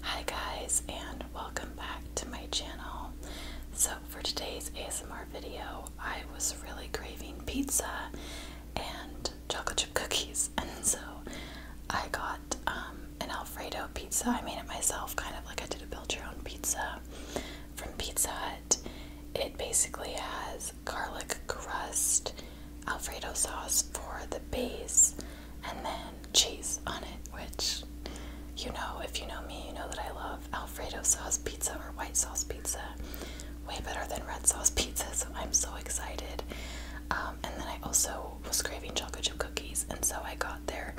Hi guys and welcome back to my channel. So for today's ASMR video I was really craving pizza and chocolate chip cookies and so I got um, an Alfredo pizza. I made it myself kind of like I did a build your own pizza from Pizza Hut. It basically has garlic crust, Alfredo sauce for the base, and then cheese on it, which you know, if you know me, you know that I love Alfredo sauce pizza or white sauce pizza way better than red sauce pizza, so I'm so excited. Um, and then I also was craving chocolate chip cookies, and so I got their,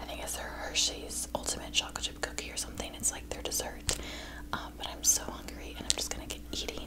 I think it's their Hershey's Ultimate Chocolate Chip Cookie or something. It's like their dessert. Um, but I'm so hungry, and I'm just gonna get eating.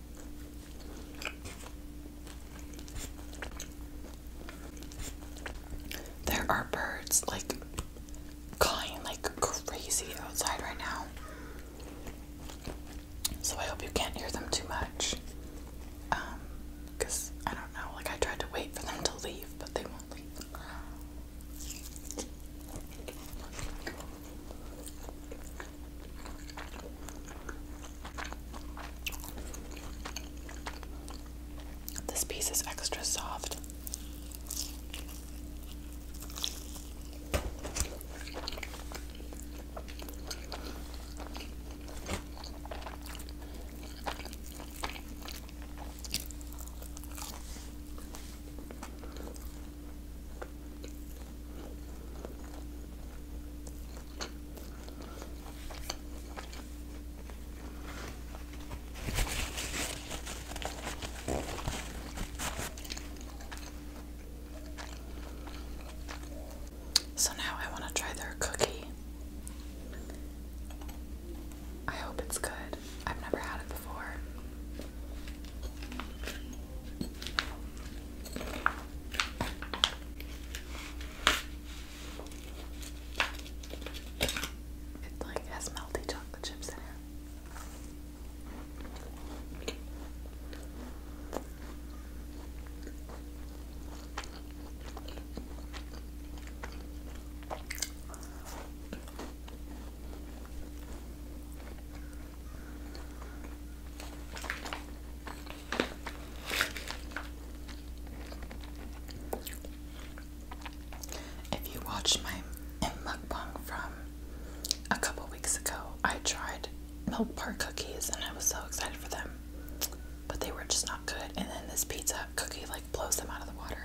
There are birds like cawing like crazy outside right now. So I hope you can't hear them too much. Um, cause I don't know, like I tried to wait for them to leave, but they won't leave. This piece is extra soft. So now I want to try their cookie. I hope it's good. I've never had it before. It like has melted chocolate chips in it. If you watched my mukbang from a couple weeks ago, I tried milk bar cookies and I was so excited for them, but they were just not good. And then this pizza cookie like blows them out of the water.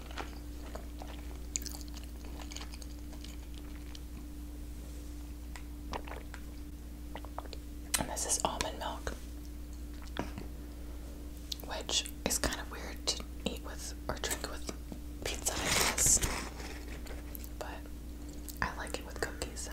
this is almond milk, which is kind of weird to eat with or drink with pizza, I guess. But I like it with cookies, so.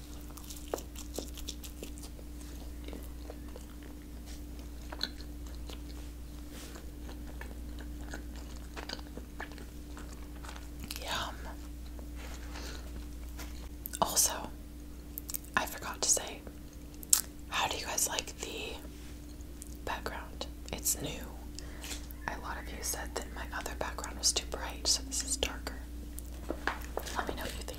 Yum. Also, I forgot to say, how do you guys like the background? It's new. A lot of you said that my other background was too bright, so this is darker. Let me know what you think.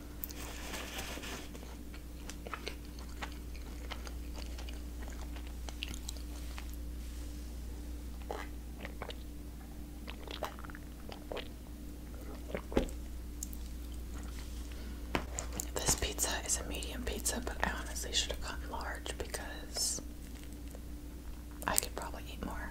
This pizza is a medium pizza, but I honestly should have gotten large because I could probably eat more.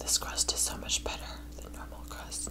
This crust is so much better than normal crust.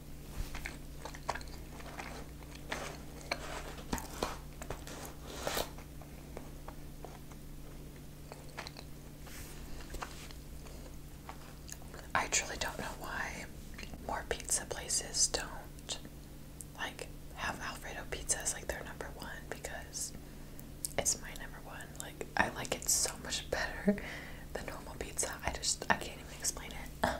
I truly don't know why more pizza places don't like have Alfredo pizza as like their number one because it's my number one. Like I like it so much better than normal pizza. I just I can't even explain it.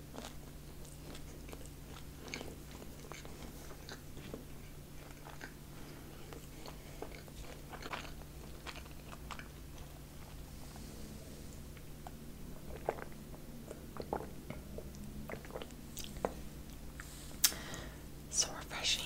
So refreshing.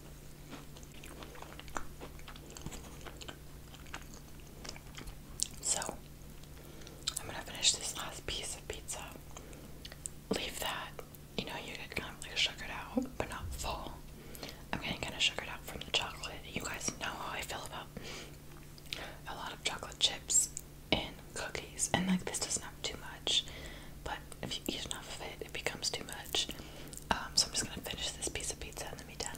So, I'm gonna finish this last piece of pizza. Leave that, you know, you get kind of like sugared out, but not full. I'm getting kind of sugared out from the chocolate. You guys know how I feel about a lot of chocolate chips and cookies, and like this doesn't have too much, but if you eat enough of it, it becomes too much. Um, so I'm just gonna finish this piece of pizza and then be done.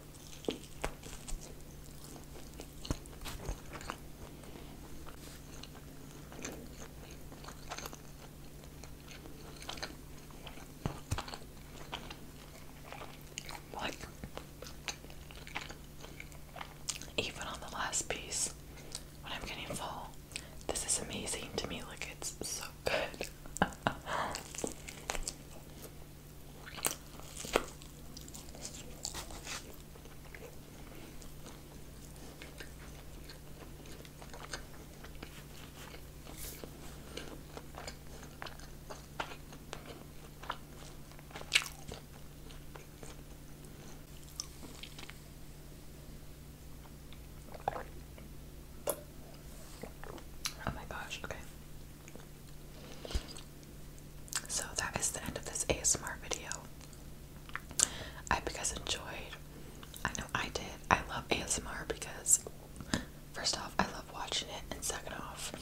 Like, even on the last piece, when I'm getting full, this is amazing to me. Like, it's so good. Oh my gosh, okay. So that is the end of this ASMR video. I hope you guys enjoyed. I know I did. I love ASMR because first off, I love watching it, and second off,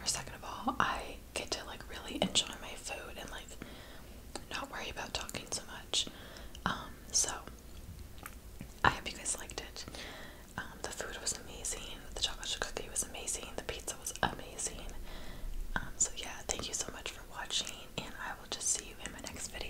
or second of all, I get to like really enjoy my food and like not worry about talking so much. Um, so I hope you guys liked it. Um, the food was amazing. The chocolate cookie was amazing. The pizza was amazing. Um, so yeah, thank you so much for watching, and I will just see you in my next video.